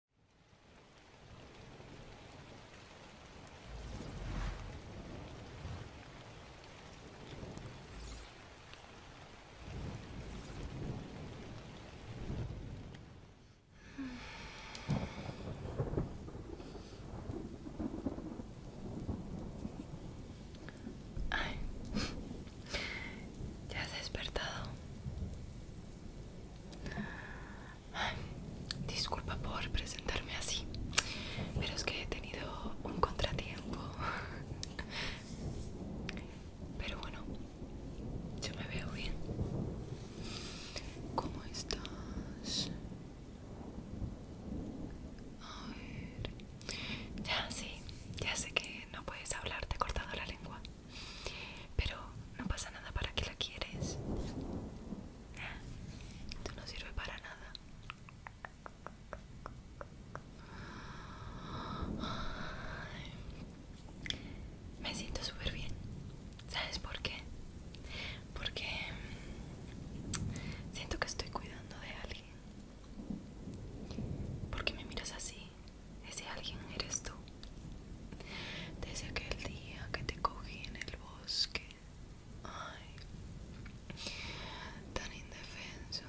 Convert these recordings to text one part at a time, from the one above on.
¿Ya has despertado? Disculpa por presentarme así, pero es que he tenido un contratiempo. Pero bueno, yo me veo bien. ¿Cómo estás? A Ya sí, ya sé que no puedes hablar, te he cortado la lengua. Pero no pasa nada para que la quieres. ¿Eh? Esto no sirve para nada. me siento súper bien. ¿Sabes por qué? Porque mm, siento que estoy cuidando de alguien. Porque me miras así, ese alguien eres tú. Desde aquel día que te cogí en el bosque. Ay, tan indefenso.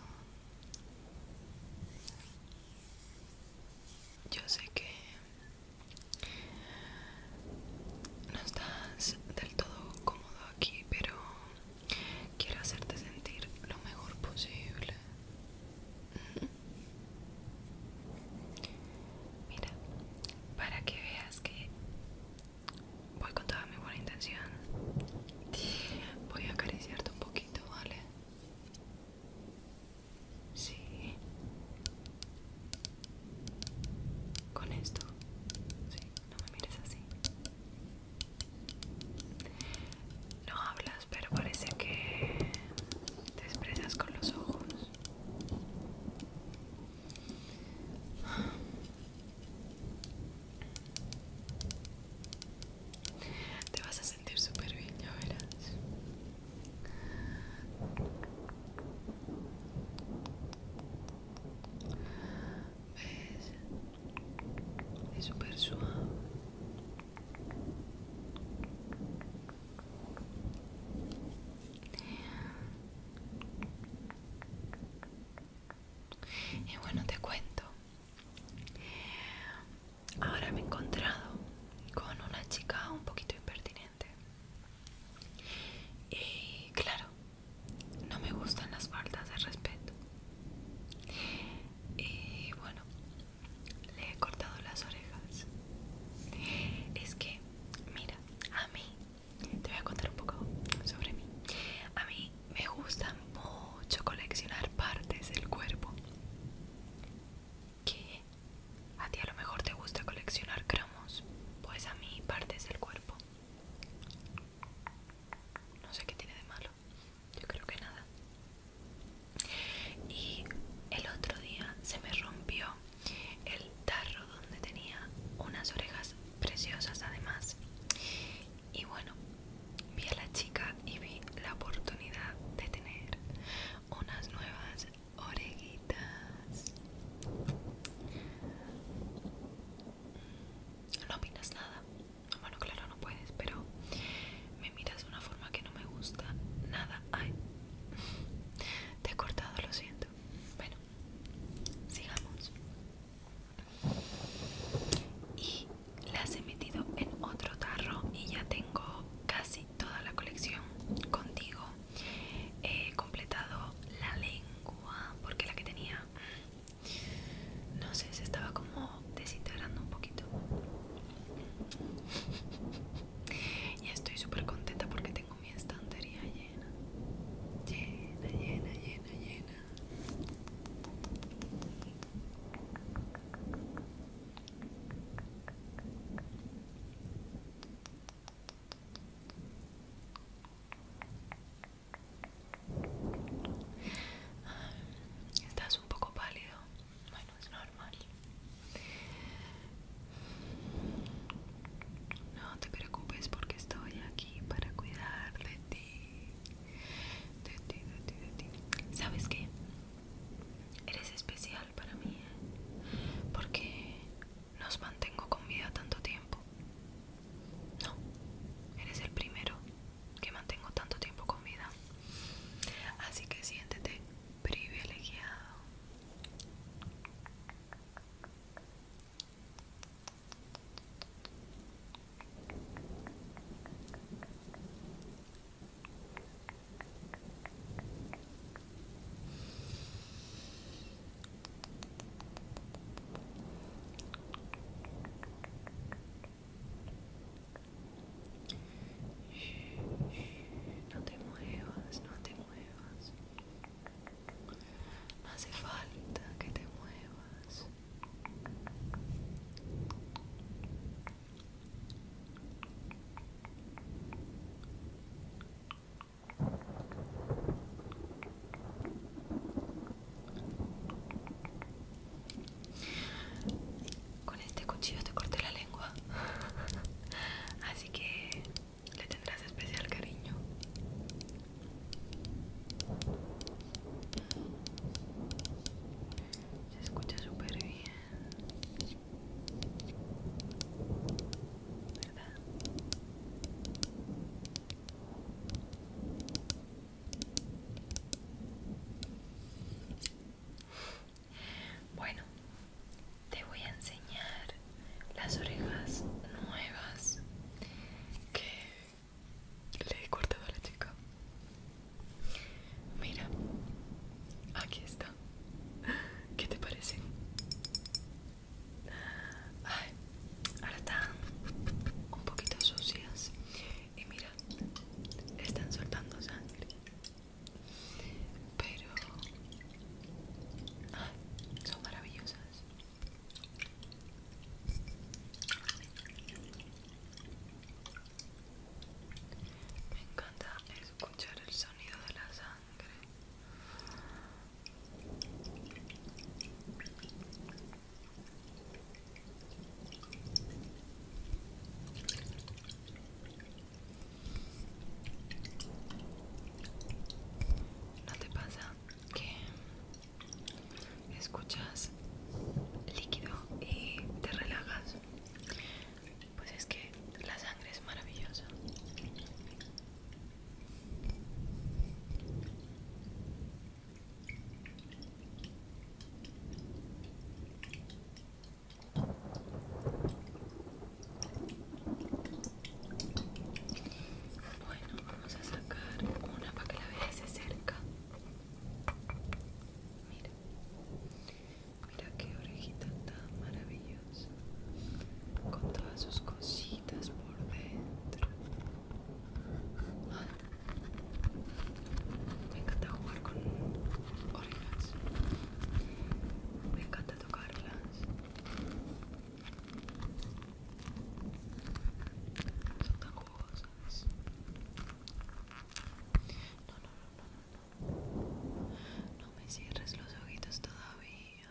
Yo sé que no estás del todo cómodo aquí, pero quiero hacerte sentir lo mejor posible. ¿Mm? Mira, para que veas que voy con toda mi buena intención, voy a acariciarte un poquito, ¿vale? Sí. Con esto. Sí, no me mires así. No hablas, pero parece que te expresas con los ojos. Te vas a sentir súper bien, ya verás. Es súper suave. Y bueno, te cuento. Ahora me he encontrado con una chica un poquito impertinente. Y claro, no me gustan las faltas de respeto. Y bueno, le he cortado las orejas. Es que, mira, a mí, te voy a contar un poco sobre mí. A mí me gusta mucho coleccionar partes del cuerpo. Que A ti a lo mejor te gusta coleccionar cromos. Pues a mí partes del cuerpo. No sé qué tiene de malo yo creo que nada y el otro día se me rompió el tarro donde tenía unas orejas preciosas además y bueno vi a la chica y vi la oportunidad de tener unas nuevas orejitas no opinas nada bueno, claro, no puedes, pero me miras de una forma que no me gusta nada. Ay, te he cortado, lo siento. Bueno, sigamos. Y las he metido en otro tarro y ya tengo casi toda la colección contigo. He completado la lengua porque la que tenía, no sé, se estaba como desintegrando un poquito. Y estoy súper contenta porque tengo mi estantería llena. Llena, llena, llena, llena. Estás un poco pálido. Bueno, es normal. No te preocupes porque estoy aquí para cuidar de ti. De ti, de ti, de ti. ¿Sabes qué? Eres especial para mí. ¿eh? Porque nos mantengo con vida tanto tiempo. No, eres el primero que mantengo tanto tiempo con vida. Así que siéntete privilegiado. No te muevas, no te muevas. No hace falta que te muevas. Con este cuchillo te corté la lengua. Así que le tendrás especial cariño. Se escucha súper bien. ¿Verdad? Bueno, te voy a enseñar las orejas nuevas que le he cortado a la chica. Mira, aquí está. ¿Qué te parece? Ay, ahora están un poquito sucias y mira, están soltando sangre. Pero ah, son maravillosas. Me encanta escuchar el sonido de la sangre. ¿No te pasa que escuchas líquido y te relajas? Pues es que la sangre es maravillosa. Bueno, vamos a sacar una para que la veas de cerca. Mira, mira qué orejita tan maravillosa. Con todas sus cositas por dentro. Me encanta jugar con orillas. Me encanta tocarlas. Son tan jugosas. No, no, no, no, no. No me cierres los ojitos todavía.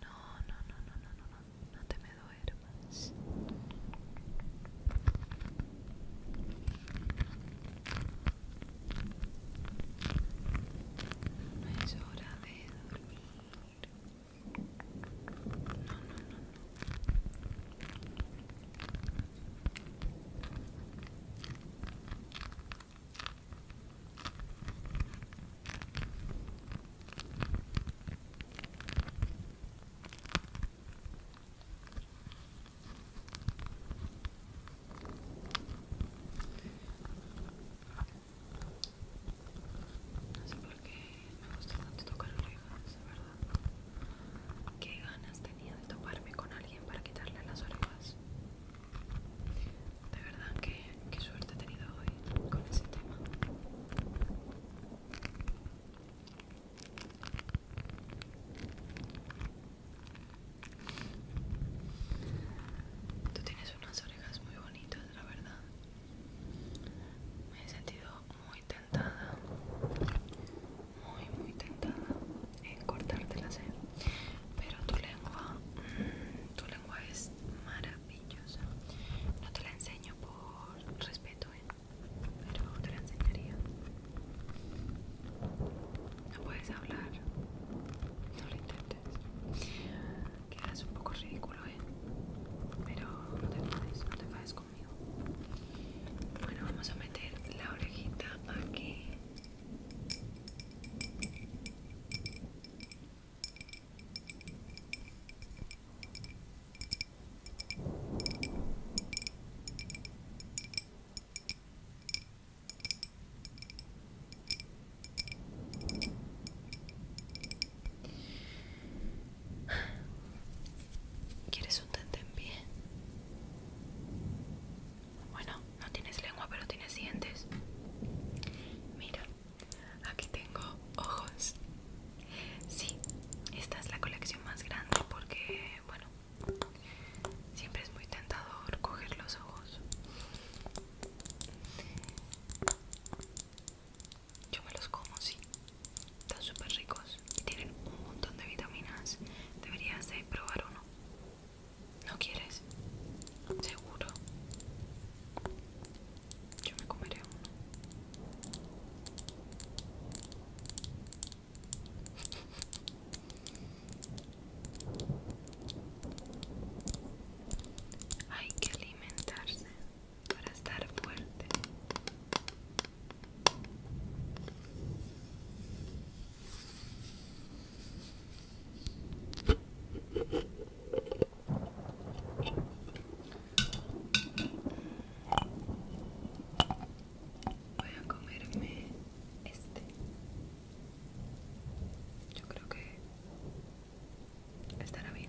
No, no, no, no, no, no, no, no te me duermas. No es hora de dormir. No, no, no, no. No sé por qué me gusta tanto tocar orejas, de verdad. Qué ganas tenía de toparme con alguien para quitarle las orejas. De verdad que qué suerte he tenido hoy con ese tema. Tú tienes unas orejas muy bonitas, la verdad. Me he sentido muy tentada, muy, muy tentada en cortártelas, ¿eh? pero tu lengua, mm, tu lengua es maravillosa. No te la enseño por respeto, ¿eh? pero te la enseñaría. No puedes hablar, no lo intentes. Quedas un poco ridículo, ¿eh? pero no te enfades, no te enfades conmigo. Bueno, vamos a meter la orejita aquí. ¿Quieres un tente en Bueno, no tienes lengua, pero tienes dientes. Mira. Aquí tengo ojos. Sí, esta es la colección más grande porque, bueno, siempre es muy tentador coger los ojos. Yo me los como, sí. Están súper ricos y tienen un montón de vitaminas. Deberías de probar uno. ¿No quieres? Seguro. Yo me comeré Hay que alimentarse para estar fuerte. Voy a comerme este. Yo creo que estará bien.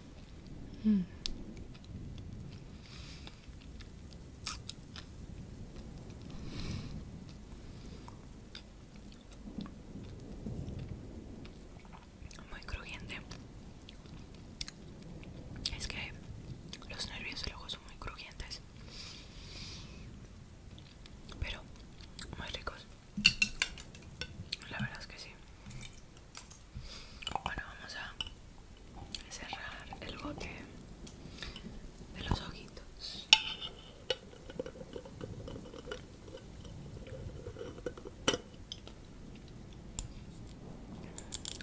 Mm. Muy crujiente. Es que los nervios del ojo son muy crujientes. Pero muy ricos. La verdad es que sí. Bueno, vamos a cerrar el bote de los ojitos.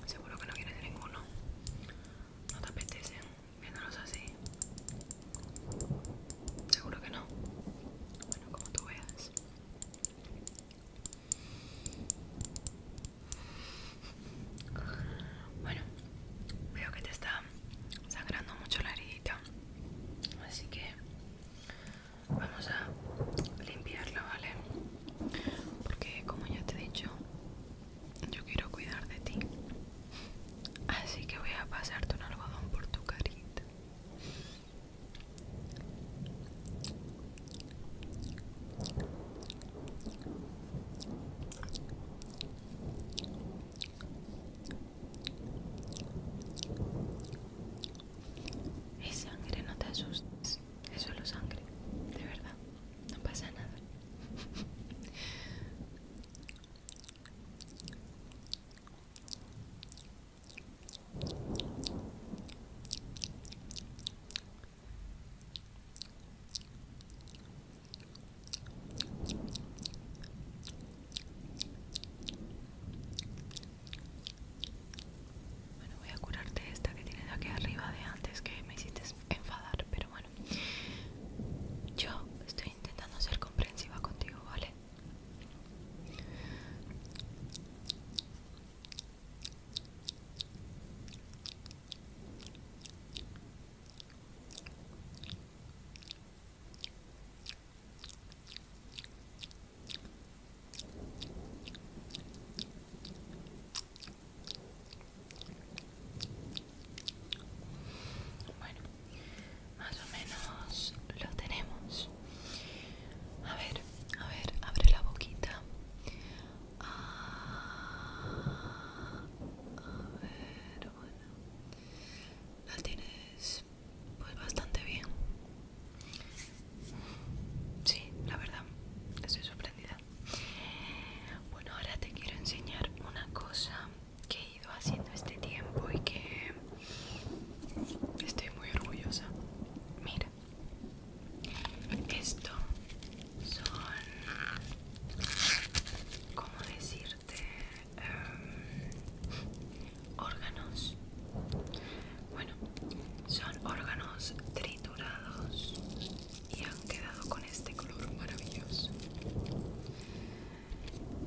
Seguro que no quieres ninguno. No te apetece viéndolos así. Seguro que no. Bueno, como tú veas. Bueno, veo que te está sangrando mucho la heridita, así que vamos a limpiarla, ¿vale? Porque como ya te he dicho, yo quiero cuidar de ti. Así que voy a pasarte un algodón por tu carita. Es sangre, no te asustes. Es solo sangre, de verdad. No pasa nada. Bueno, voy a curarte esta que tienes aquí arriba de antes que me hiciste enfadar, pero bueno. Yo estoy intentando ser comprensiva contigo, ¿vale? Bueno, más o menos lo tenemos. A ver, a ver, abre la boquita. Ah, a ver, bueno. La tienes pues bastante bien. Sí, la verdad, estoy sorprendida. Bueno, ahora te quiero enseñar una cosa que he ido haciendo este tiempo y que estoy muy orgullosa. Mira, esto son, ¿cómo decirte? Em, órganos. Bueno, son órganos triturados y han quedado con este color maravilloso.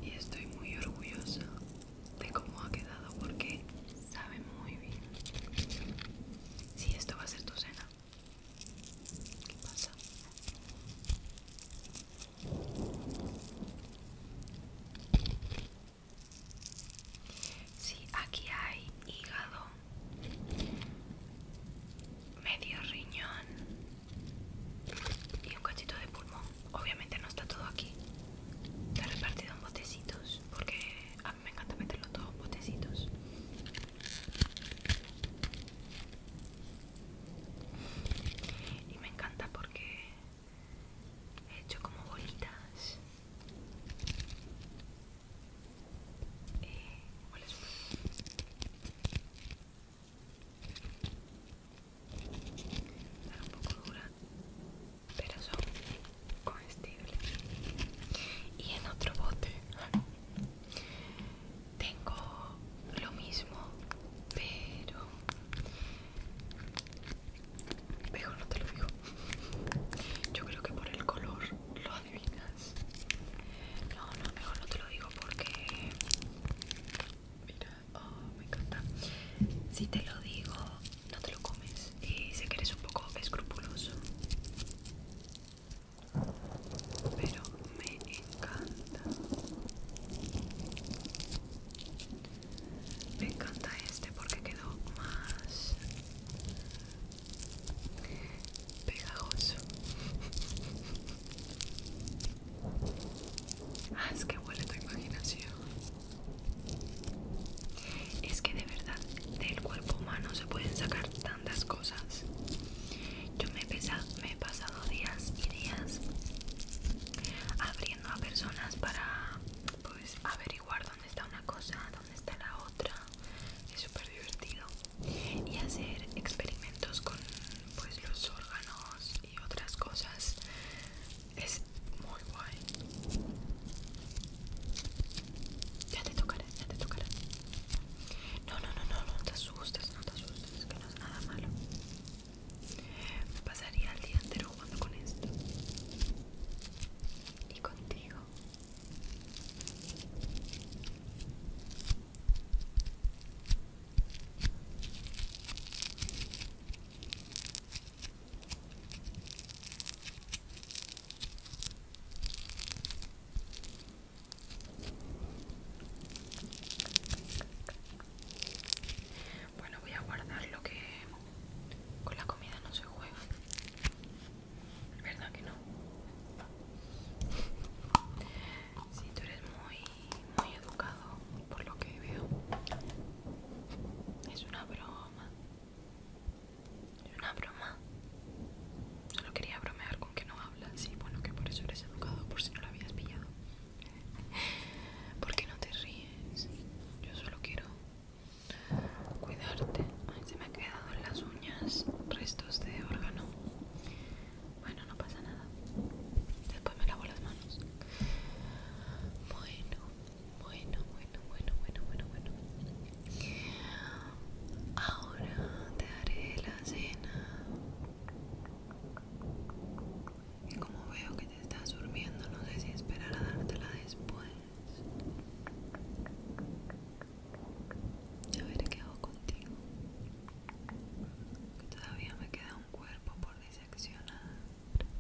Y estoy muy orgullosa de cómo ha quedado porque sabe muy bien. Si esto va a ser tu cena. ¿Qué pasa? Sí, aquí hay hígado, medio riñón y un cachito de pulmón obviamente no está todo aquí. está repartido en botecitos porque a mí me encanta meterlo todo en botecitos. Y me encanta porque he hecho como bolitas. Eh, huele están un poco duras, pero son comestibles. Y en otro bote tengo lo mismo, pero mejor no te lo digo. Yo creo que por el color lo adivinas. No, no, mejor no te lo digo porque... Mira, Oh, me encanta. Si te lo digo, no te lo comes. Y sé que eres un poco escrupuloso. Pero me encanta. Me encanta este porque quedó más pegajoso. Ah, es que huele tu imaginación. Es que de verdad del cuerpo humano se pueden sacar tantas cosas. Yo me he, pasado días y días abriendo a personas para pues averiguar dónde está una cosa, dónde está la otra. Es súper divertido. Y hacer experimentos con pues los órganos y otras cosas es muy guay. Ya te tocaré, ya te tocaré. No, no, no, no, no te asustes, no te asustes, que no es nada malo. Me Pasaría el día entero jugando con esto. Y contigo. Bueno, voy a guardar lo que con la comida no se juega. ¿Verdad que no? Si sí, tú eres muy muy educado por lo que veo. Es una broma. Es una broma. Solo quería bromear con que no hablas, Sí, bueno, que por eso eres educado, por si no lo habías pillado. ¿Por qué no te ríes? Yo solo quiero cuidarte. Ay, se me ha quedado en las uñas restos de órgano. Bueno, no pasa nada. Después me lavo las manos. Bueno, bueno, bueno, bueno, bueno, bueno, bueno. Ahora te haré la cena. Y como veo que te estás durmiendo, no sé si esperar a dártela después. A ver qué hago contigo. que Todavía me queda cuerpo por diseccionar,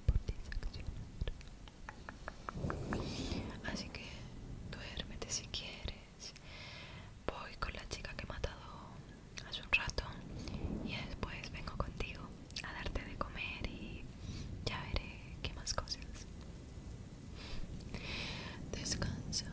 por diseccionar. Así que duérmete si quieres. Voy con la chica que he matado hace un rato y después vengo contigo a darte de comer y ya veré qué más cosas. Descansa.